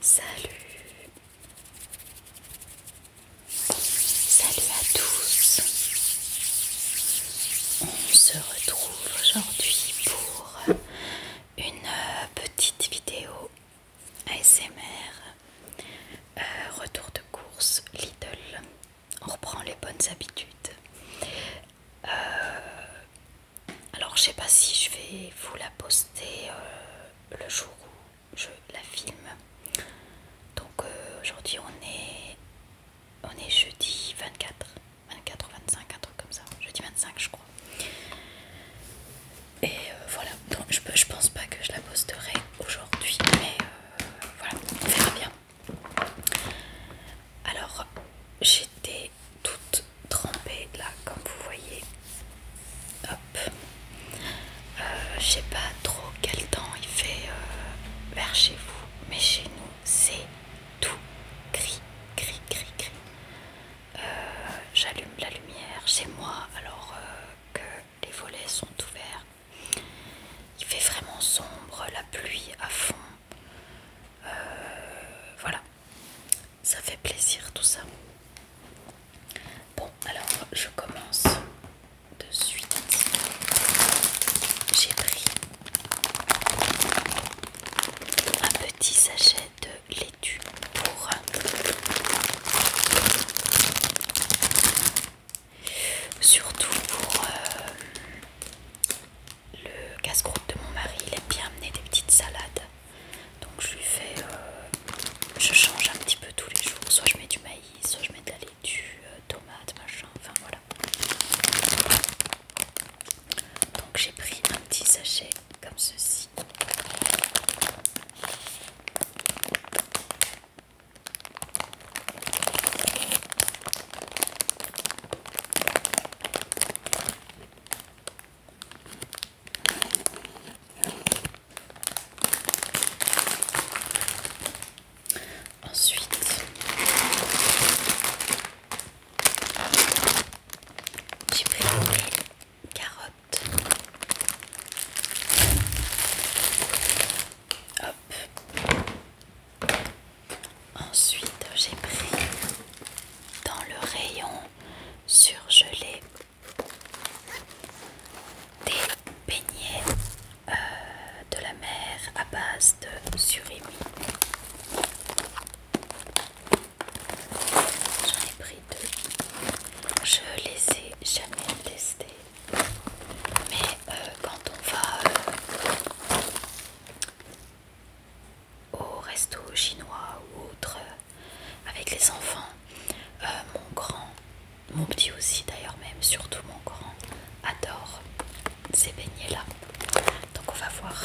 Salut Salut à tous On se retrouve aujourd'hui pour une petite vidéo ASMR euh, Retour de course Lidl On reprend les bonnes habitudes euh, alors, je sais pas si je vais vous la poster euh, le jour où je la filme. Donc, euh, aujourd'hui, on est, on est jeudi 24, 24 ou 25, un truc comme ça. Jeudi 25, je crois. Et euh, voilà, donc je, pense pas que je la posterai aujourd'hui, mais voilà, on verra bien. Alors, j'étais tout toute trempée là comme vous voyez hop euh, je sais pas trop quel temps il fait euh, vers chez vous mais chez nous c'est tout gris gris gris gris euh, j'allume la lumière chez moi alors que les volets sont ouverts il fait vraiment sombre la pluie à fond voilà ça fait plaisir tout ça. Bon, alors je commence de suite. J'ai pris un petit sachet de laitue pour euh, surtout pour euh, le casse-croûte de mon mari. Il aime bien amener des petites salades donc je lui fais, euh, je change un petit peu tous les jours, soit je mets du maïs, soit je mets de la laitue, euh, tomate, machin, enfin voilà. Donc j'ai pris un petit sachet comme ceci. Ensuite, j'ai pris des carottes. Ensuite, j'ai pris dans le rayon surgelé des beignets euh, de la mer à base de surimi. J'en ai pris deux. Je les ai jamais testés. Mais euh, quand on va euh, au resto chinois ou autre avec les enfants. Euh, mon grand, mon petit aussi d'ailleurs même, surtout mon grand, adore ces beignets là. Donc on va voir.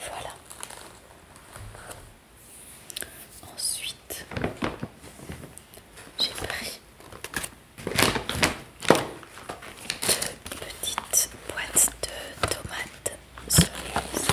Voilà. Ensuite, j'ai pris deux petites boîtes de tomates cerises.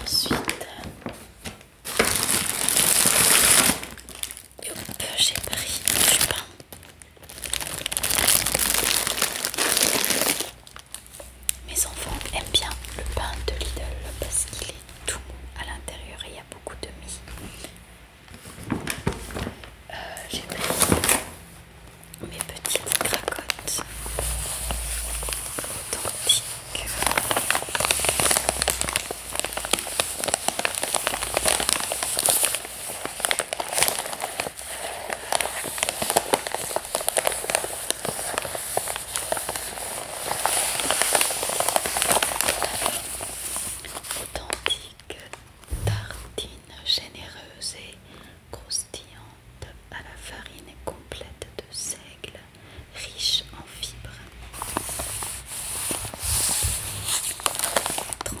Ensuite, j'ai pris du pain. Mes enfants aiment bien le pain de Lidl parce qu'il est tout à l'intérieur et il y a beaucoup de mie. Euh, j'ai pris mes petites cracottes authentiques. Euh, Authentique tartine généreuse et croustillante à la farine complète de seigle, riche en fibres. 31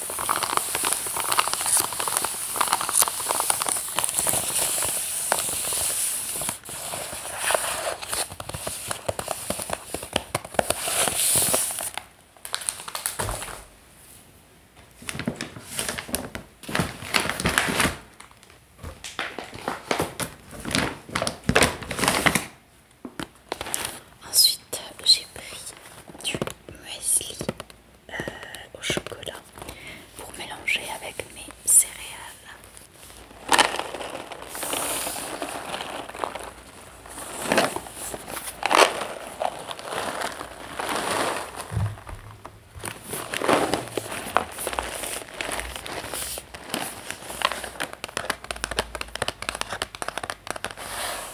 Ensuite, j'ai pris du muesli euh, au chocolat pour mélanger avec mes céréales.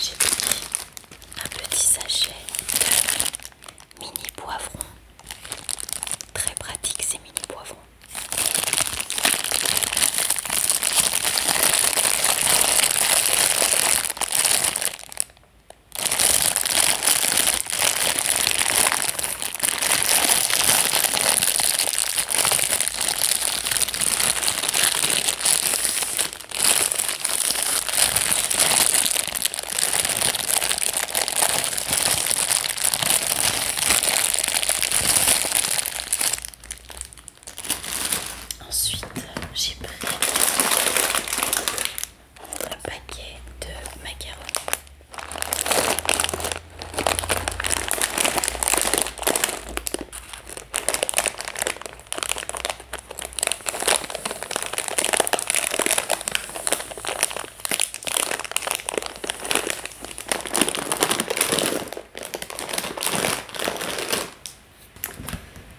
J'ai pris un petit sachet mini poivrons. Très pratique ces mini poivrons. Ensuite, j'ai pris un paquet de macarons.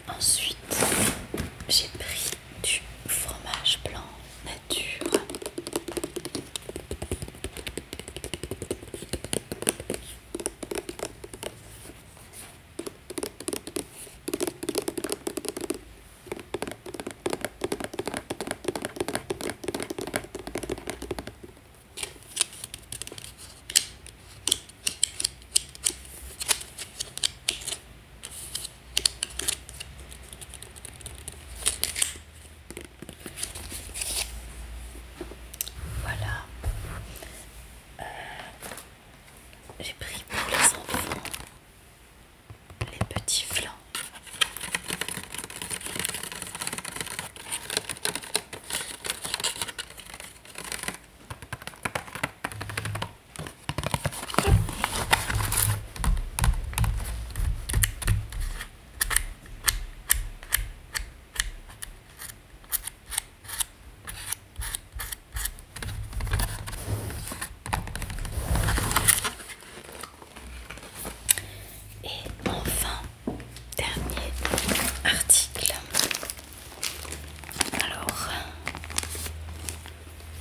Ensuite, j'ai pris du fromage blanc nature. Voilà. Euh, j'ai pris pour les enfants les petits flancs. Et enfin, dernier article. Alors,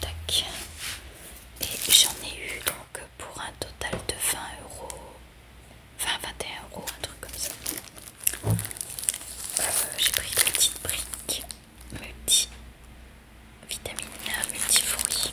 tac. Et j'en ai eu donc pour un total de 20 euros, 20 21 euros, un truc comme ça. Euh, j'ai pris des petites briques multi vitamine A, multifruits.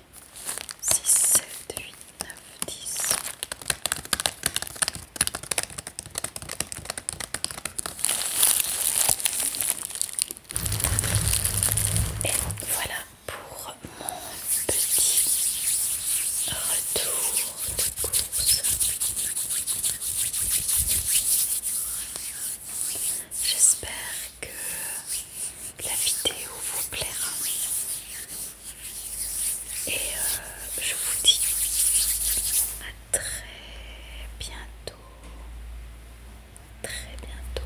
6, 7, 8, 9, 10. Et voilà pour mon petit retour de course. J'espère que la vidéo vous plaira. Et euh, je vous dis à très bientôt, très bientôt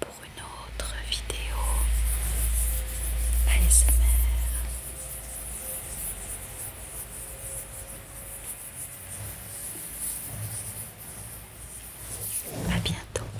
pour une autre vidéo mère. À bientôt.